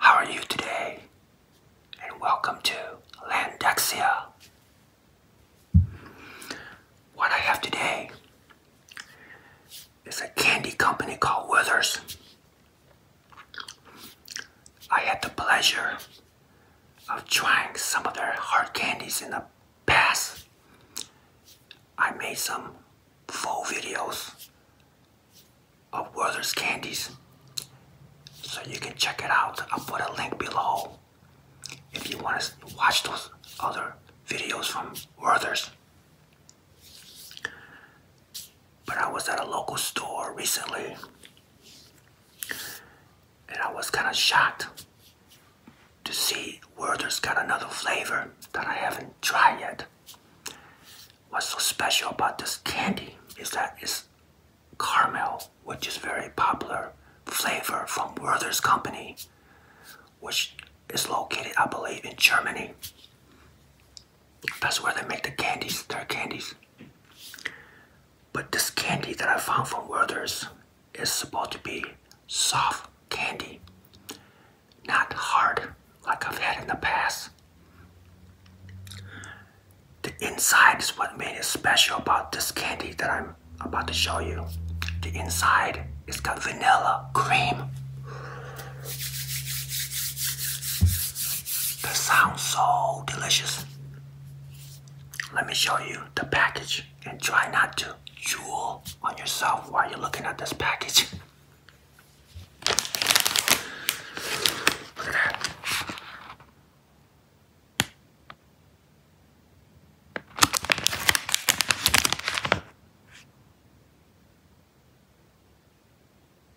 How are you today? And welcome to Landexia. What I have today is a candy company called Withers. I had the pleasure of trying some of their hard candies in the past. I made some full videos of Werther's candies, so you can check it out. I'll put a link below if you want to watch those other videos from Werther's. But I was at a local store recently and I was kind of shocked to see Werther's got another flavor that I haven't tried yet. What's so special about this candy is that it's caramel, which is very popular flavor from Werther's company, which is located, I believe, in Germany. That's where they make the candies, their candies. But this candy that I found from Werther's is supposed to be soft candy, not hard like I've had in the past. The inside is what made it special about this candy that I'm about to show you. The inside is got vanilla cream. That sounds so delicious. Let me show you the package and try not to jewel on yourself while you're looking at this package.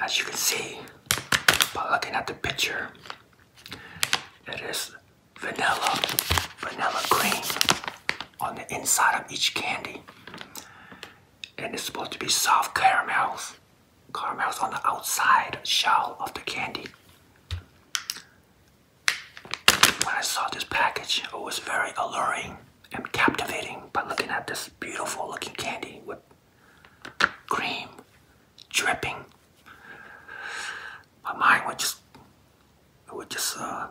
As you can see by looking at the picture, it is vanilla, vanilla cream on the inside of each candy. And it's supposed to be soft caramels, caramels on the outside shell of the candy. When I saw this package, it was very alluring and captivating by looking at this beautiful looking candy with cream dripping. My mind would just, it just, uh,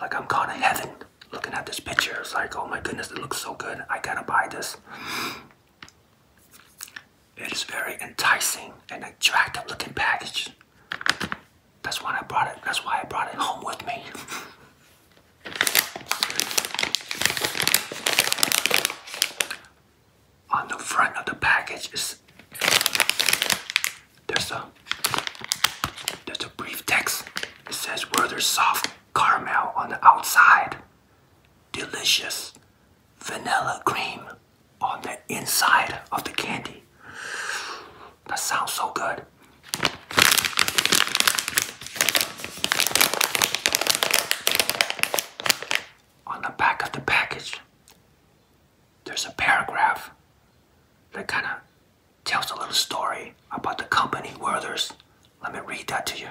like I'm gone to heaven looking at this picture. It's like, oh my goodness, it looks so good. I gotta buy this. It is very enticing and attractive looking package. That's why I brought it. That's why I brought it home with me. On the front of the package there's a there's a brief text. It says Werther's soft caramel on the outside, delicious vanilla cream on the inside of the candy. That sounds so good. On the back of the package, there's a paragraph that kind of tells a little story about the company Werther's. Let me read that to you.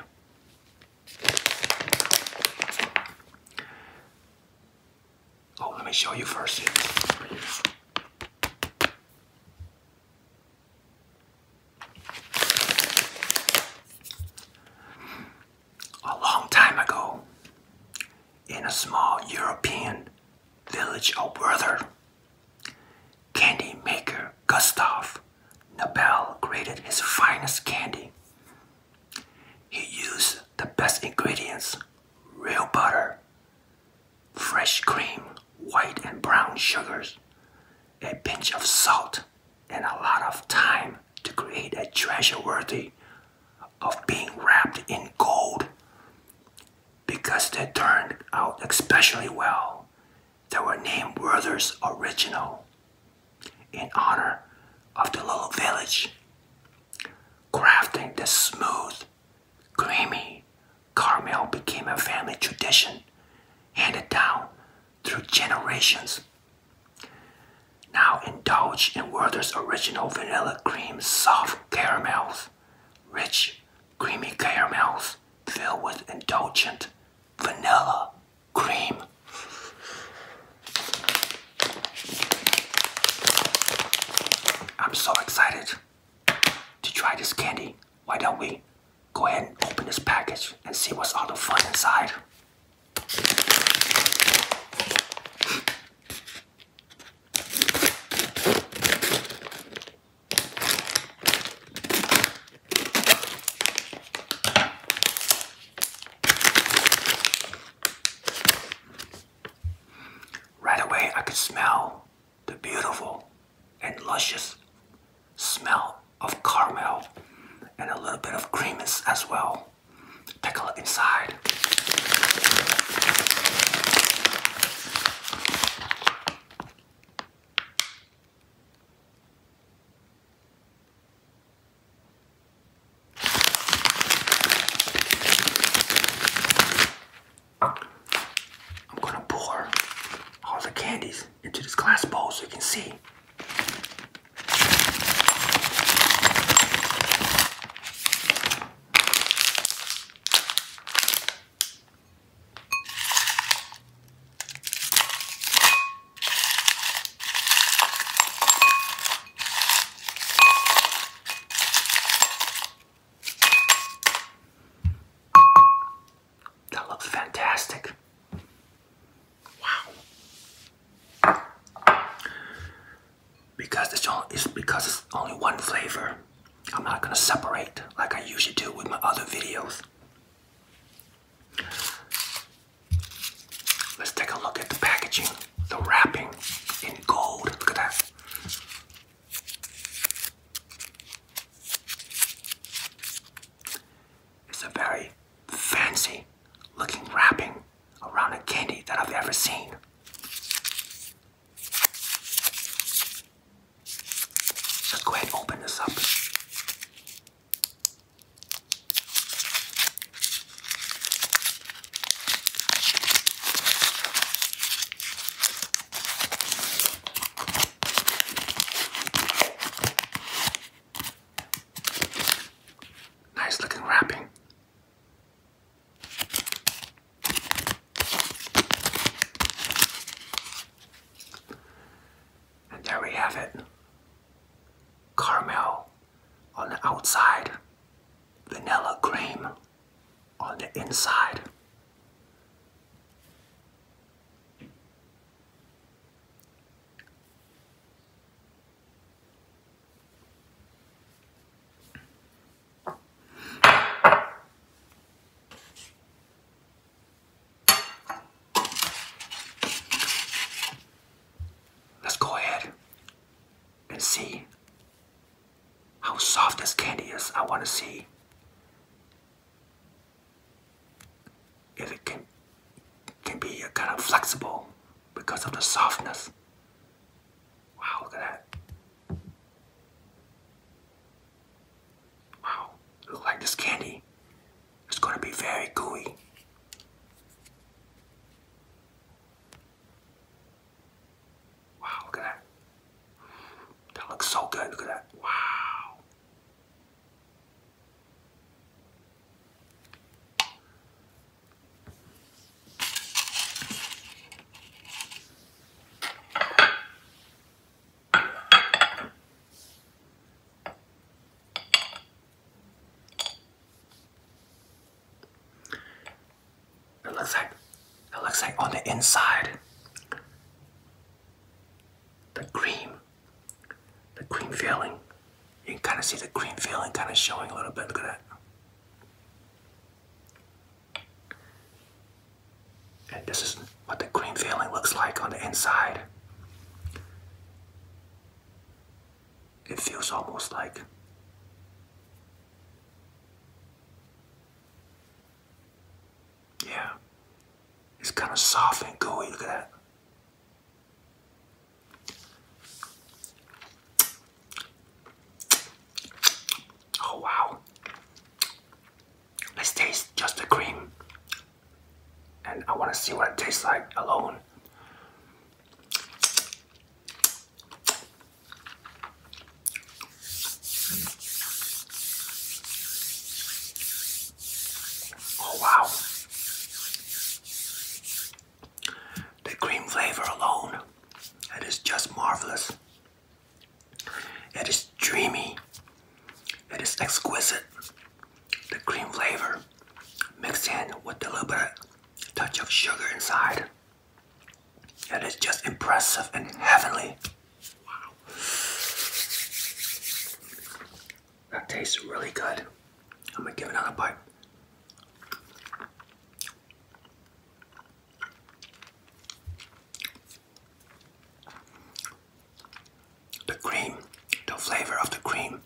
Oh, let me show you first. A long time ago, in a small European village of brother, candy maker Gustav Nobel grated his finest candy. He used the best ingredients real butter, fresh cream, white and brown sugars, a pinch of salt, and a lot of time to create a treasure worthy of being wrapped in gold. Because they turned out especially well, they were named Werther's Original in honor of the little village Crafting this smooth, creamy caramel became a family tradition handed down through generations. Now indulge in Werther's original vanilla cream soft caramels, rich, creamy caramels filled with indulgent vanilla cream. I'm so excited to try this candy. Why don't we go ahead and open this package and see what's all the fun inside? Right away, I could smell the beautiful and luscious smell of caramel and a little bit of creaminess as well. Take a look inside. I'm gonna pour all the candies into this glass bowl so you can see. That looks fantastic. Wow. Because it's only it's because it's only one flavor. I'm not gonna separate like I usually do with my other videos. Let's take a look at the packaging, the wrapping in gold. Look at that. It's a very fancy looking wrapping around a candy that I've ever seen. Let's go ahead and open this up. Nice looking wrapping. And there we have it. Caramel on the outside, vanilla cream on the inside. Let's go ahead and see how soft this candy is. I want to see if it can can be kind of flexible because of the softness. Wow, look at that. Wow, look like this candy is going to be very gooey. Wow, look at that. That looks so good. Look at that. Wow. It looks like it looks like on the inside the cream the cream filling. You can kind of see the cream filling kind of showing a little bit. Look at that. And this is what the cream filling looks like on the inside. It feels almost like yeah. It's kind of soft and gooey. Look at that. Oh, wow. Let's taste just the cream. And I want to see what it tastes like alone. Oh, wow. The cream flavor alone, it is just marvelous. It is dreamy. It is exquisite. The cream flavor mixed in with a little bit of touch of sugar inside. It is just impressive and heavenly. Wow. That tastes really good. I'm gonna give another bite. The cream, the flavor of the cream,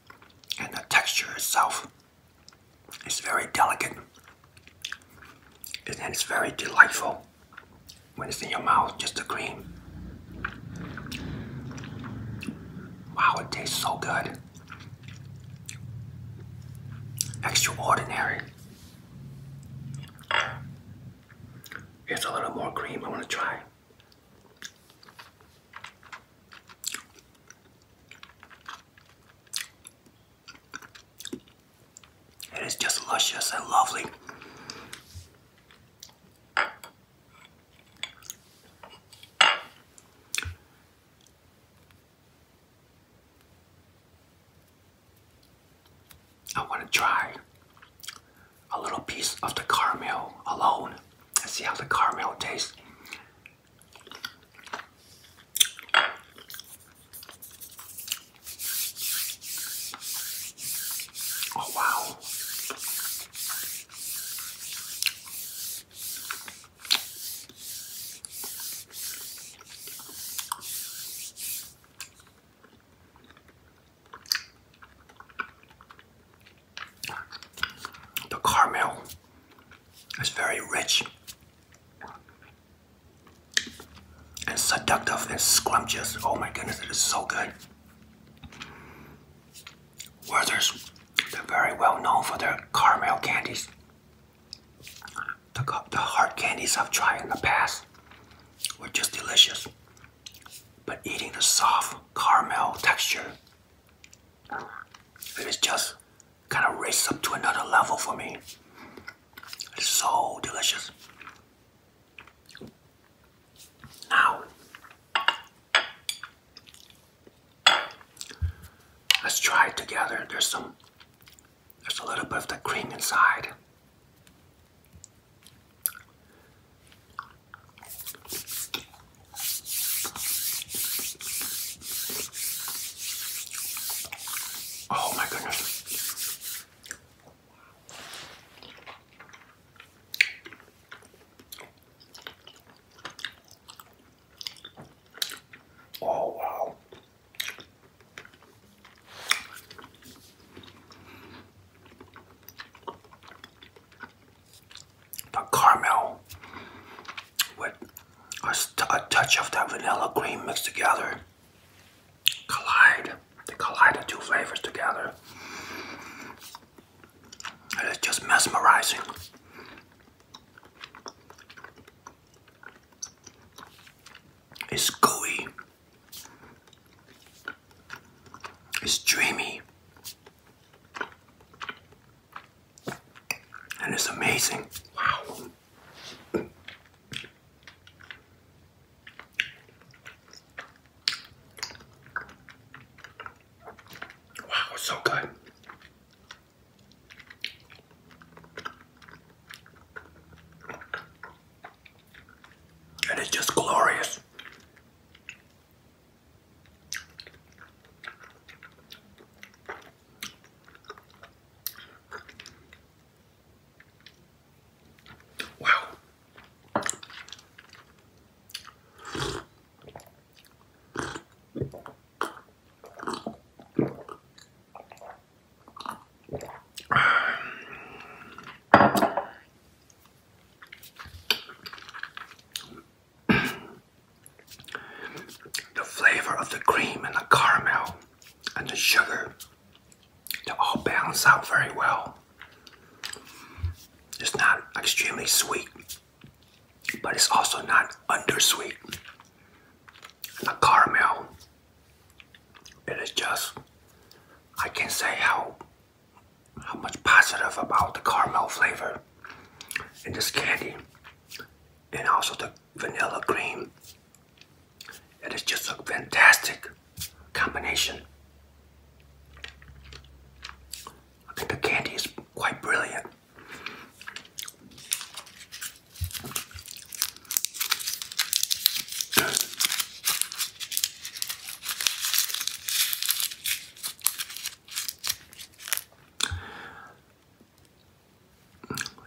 and the texture itself it's very delicate and it's very delightful when it's in your mouth, just the cream. Wow, it tastes so good. Extraordinary. Here's a little more cream I want to try. It is just luscious and lovely. I want to try a little piece of the caramel alone and see how the caramel tastes. Oh, wow. The caramel is very rich and seductive and scrumptious. Oh my goodness, it is so good. Werther's, they're very well known for their caramel candies. The, the hard candies I've tried in the past were just delicious. But eating the soft caramel texture, it is just kind of raised up to another level for me. It's so delicious. Now, let's try it together. There's some, there's a little bit of the cream inside. Oh my goodness. Oh wow. The caramel with a, a touch of that vanilla cream mixed together collide. They collide the two flavors together. it's just mesmerizing. It's gooey. It's dreamy. And it's amazing. Wow. Wow, so good. And it's just glorious. Wow. the flavor of the cream and the caramel and the sugar to all balance out very well. It's not extremely sweet, but it's also not undersweet. And the caramel, it is just, I can can't say how, how much positive about the caramel flavor in this candy. And also the vanilla cream. It is just a fantastic combination. I think the candy is quite brilliant.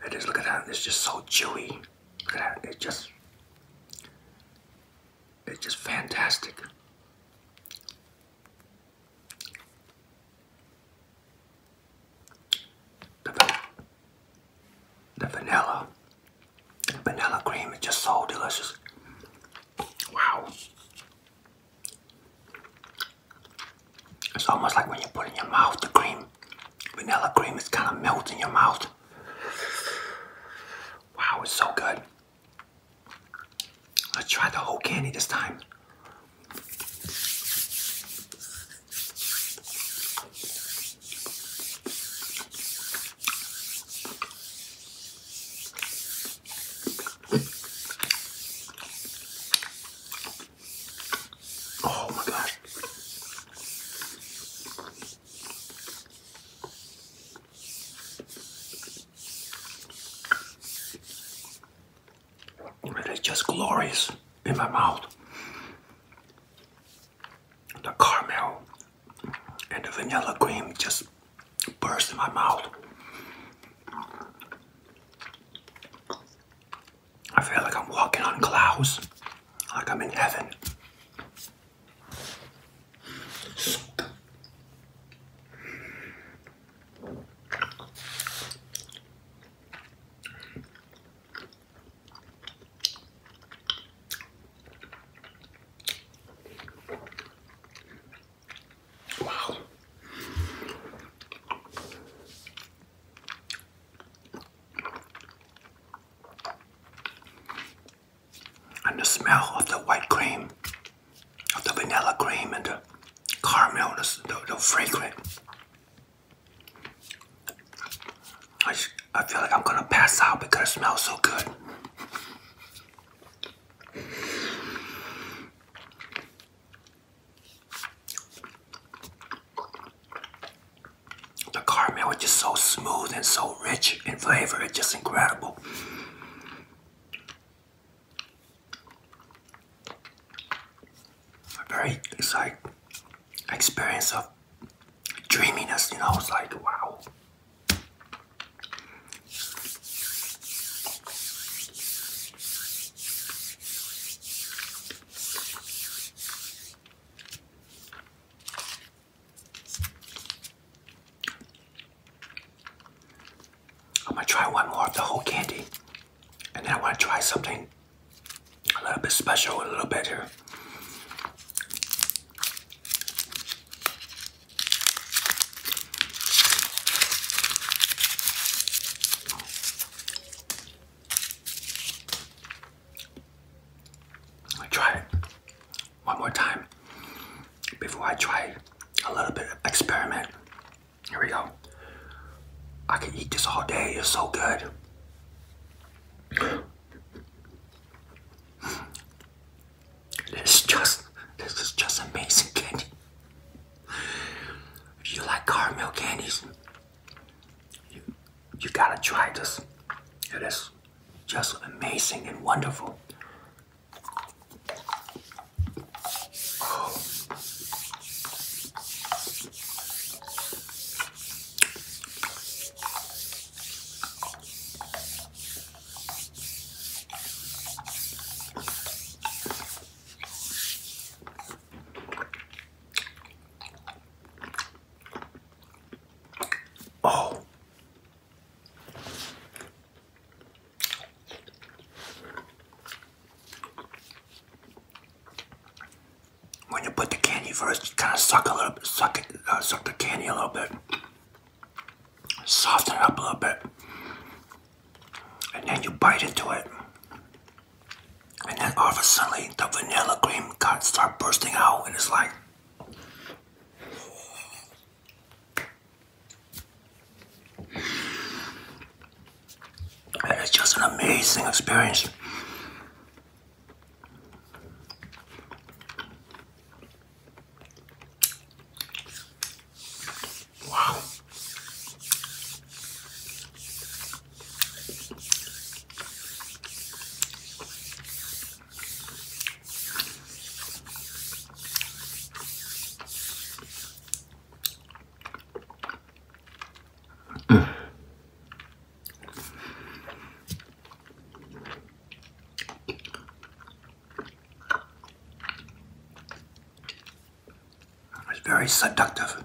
It is, look at that, it's just so chewy. Look at that, it just, it's just fantastic. The, the vanilla, vanilla cream is just so delicious. Wow. It's almost like when you put in your mouth the cream, vanilla cream is kind of melting your mouth. Wow, it's so good. Let's try the whole candy this time. Oh my god. It is just glorious in my mouth. The caramel and the vanilla cream just burst in my mouth. I feel like I'm walking on clouds like I'm in heaven. Wow. And the smell of the white cream, of the vanilla cream and the caramel, the, the, fragrant. I, I feel like I'm gonna pass out because it smells so good. The caramel is just so smooth and so rich in flavor. It's just incredible. Very, it's like experience of dreaminess, you know, it's like, wow. I'm gonna try one more of the whole candy, and then I want to try something a little bit special, a little better. I try it one more time before I try a little bit of experiment. Here we go. I can eat this all day. It's so good. This is just this is just amazing candy. If you like caramel candies, you, you gotta try this. It is just amazing and wonderful. Oh. When you put the candy first, you kind of suck a little bit, suck it, uh, suck the candy a little bit, soften it up a little bit, and then you bite into it, and then all of a sudden the vanilla cream cuts start bursting out, and it's like. And it's just an amazing experience. Wow. It's very seductive.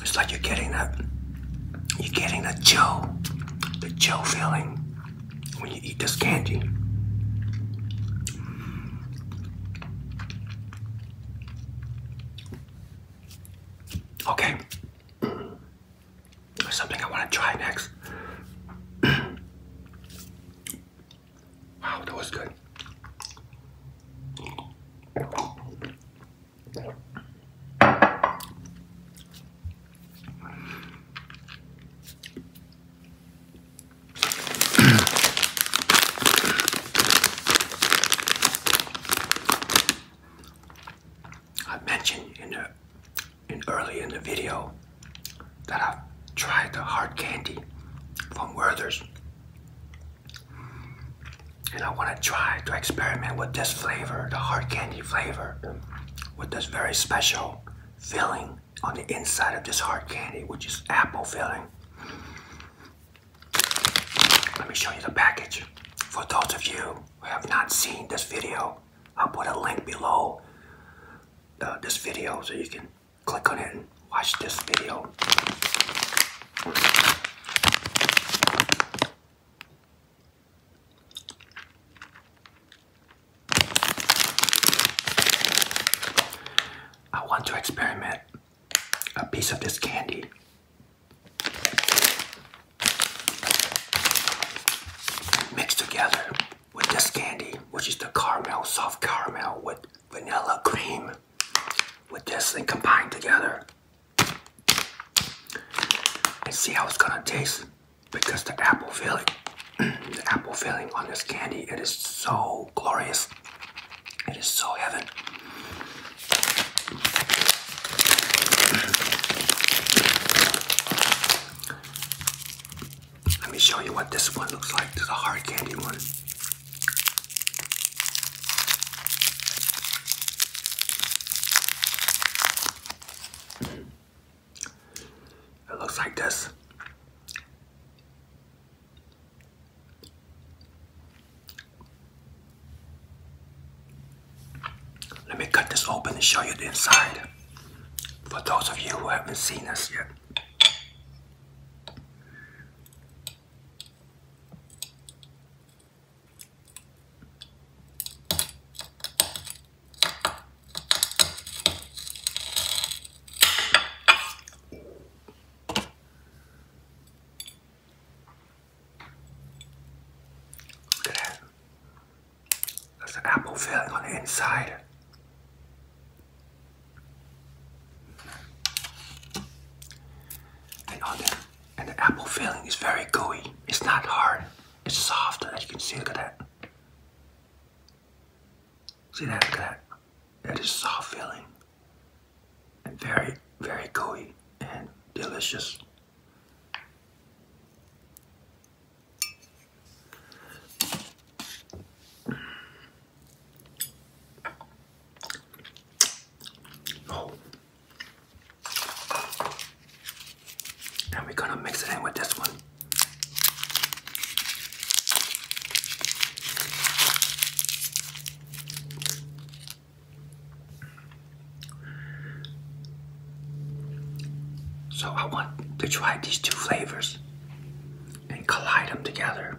It's like you're getting that you're getting the chill, the chill feeling when you eat this candy. Okay. There's something I want to try next. wow, that was good. I mentioned in the in early in the video that I've tried the hard candy from Werther's and I want to try to experiment with this flavor, the hard candy flavor, with this very special filling on the inside of this hard candy, which is apple filling. Let me show you the package. For those of you who have not seen this video, I'll put a link below uh, this video so you can click on it and watch this video. I want to experiment a piece of this candy. Mixed together with this candy, which is the caramel, soft caramel with vanilla cream, with this thing combined together. Let's see how it's gonna taste because the apple filling the apple filling on this candy it is so glorious it is so heaven let me show you what this one looks like this is a hard candy one it looks like this. Let me cut this open and show you the inside. For those of you who haven't seen us yet. Look at that. There's an apple filling on the inside. And on the and the apple filling is very gooey. It's not hard. It's soft, as you can see. Look at that. See that? Look at that. That is soft filling. And very, very gooey and delicious. Oh, and we're gonna mix it in with this one. So I want to try these two flavors and collide them together.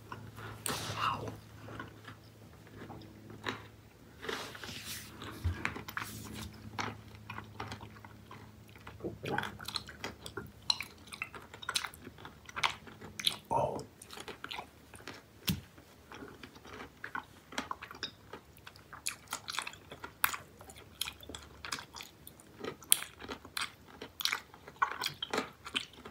Wow. Oh.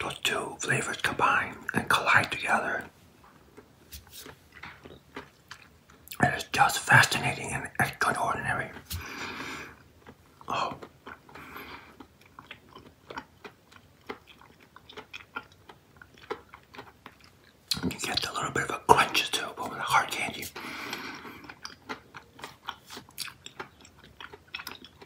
Those two flavors combine and collide together. It is just fascinating and extraordinary. Oh. you get a little bit of a crunch too, but with a hard candy.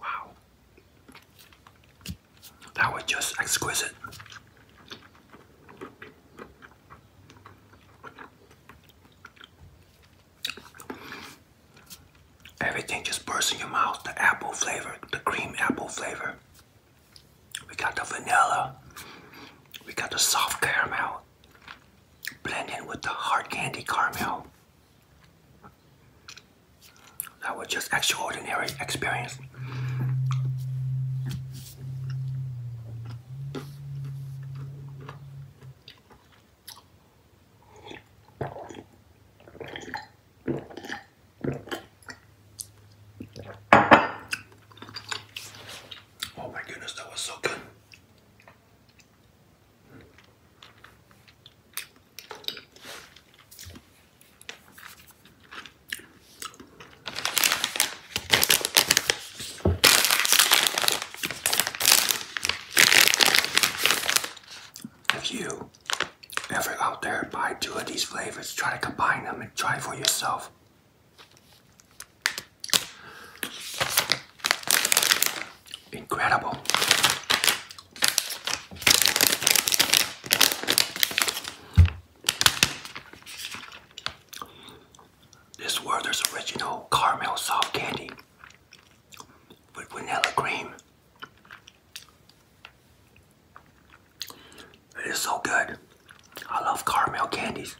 Wow. That was just exquisite. Everything just bursts in your mouth. The apple flavor, the cream apple flavor. We got the vanilla. We got the soft caramel Blending with the hard candy caramel. That was just extraordinary experience. Oh my goodness, that was so good. If you ever out there buy two of these flavors, try to combine them and try for yourself. Incredible. This Werther's Original Caramel Soft Candy with vanilla cream. It is so good. I love caramel candies,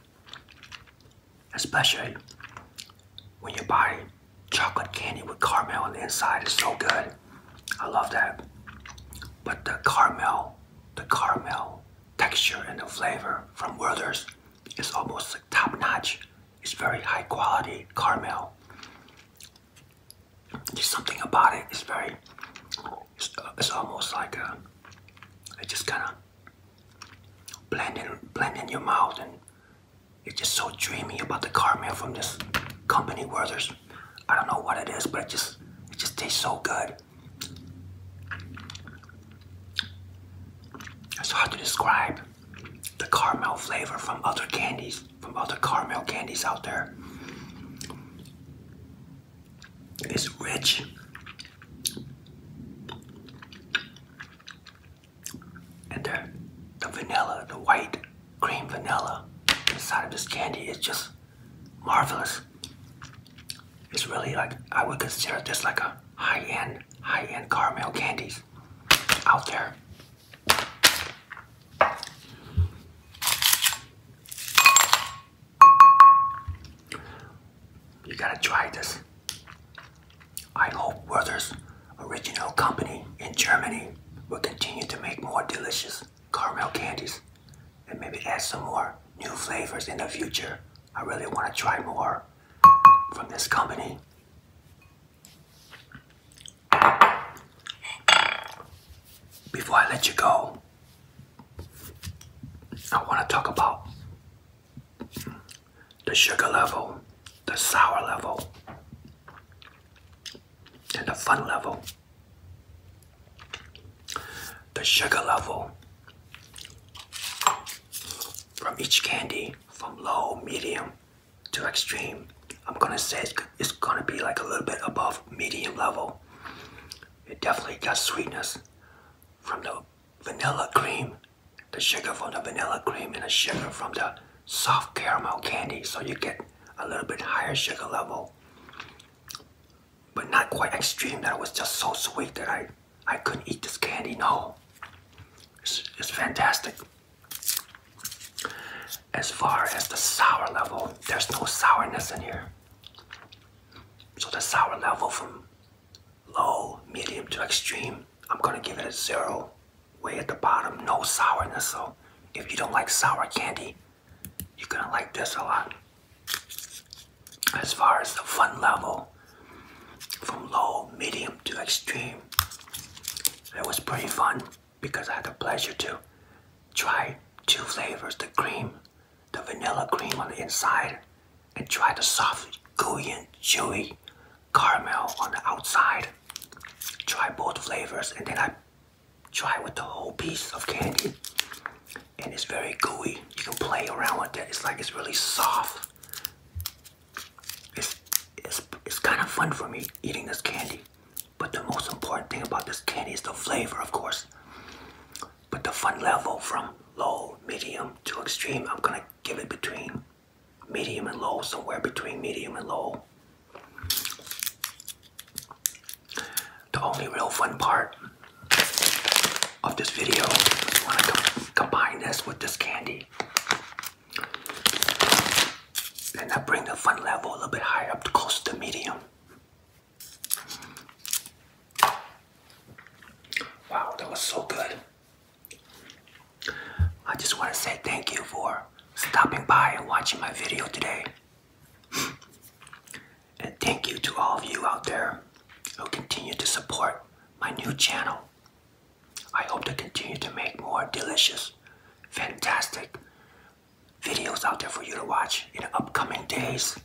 especially when you buy chocolate candy with caramel on the inside. It's so good. I love that. But the caramel, the caramel texture and the flavor from Werther's is almost top notch. It's very high quality caramel. There's something about it. It's very. It's, uh, almost like a. Uh, it just kind of blending, blending your mouth, and it's just so dreamy about the caramel from this company Werther's. I don't know what it is, but it just it just tastes so good. It's hard to describe the caramel flavor from other candies, from other caramel candies out there. It's rich. And the, the vanilla, the white cream vanilla inside of this candy is just marvelous. It's really like, I would consider this like a high-end, high-end caramel candies out there. You gotta try this. I hope Werther's original company in Germany will continue to make more delicious caramel candies and maybe add some more new flavors in the future. I really want to try more from this company. Before I let you go, I want to talk about the sugar level, the sour level and the fun level, the sugar level from each candy from low, medium to extreme. I'm gonna say it's, gonna be like a little bit above medium level. It definitely got sweetness from the vanilla cream, the sugar from the vanilla cream, and the sugar from the soft caramel candy. So you get a little bit higher sugar level but not quite extreme that was just so sweet that I I couldn't eat this candy no it's fantastic as far as the sour level there's no sourness in here so the sour level from low medium to extreme I'm gonna give it a zero way at the bottom no sourness so if you don't like sour candy you're gonna like this a lot. As far as the fun level, from low, medium to extreme, it was pretty fun because I had the pleasure to try two flavors the cream, the vanilla cream on the inside, and try the soft, gooey, and chewy caramel on the outside. Try both flavors, and then I try with the whole piece of candy and it's very gooey. You can play around with that. It's like it's really soft. It's, it's, it's kind of fun for me eating this candy. But the most important thing about this candy is the flavor, of course. But the fun level from low, medium to extreme, I'm gonna give it between medium and low, somewhere between medium and low. The only real fun part of this video is when I com combine this with this candy. And I bring the fun level a little bit higher up close to the medium. Wow, that was so good. I just want to say thank you for stopping by and watching my video today. And thank you to all of you out there who continue to support my new channel. I hope to continue to make more delicious, fantastic videos out there for you to watch in the upcoming days.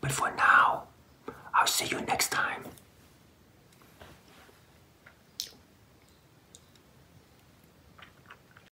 But for now, I'll see you next time.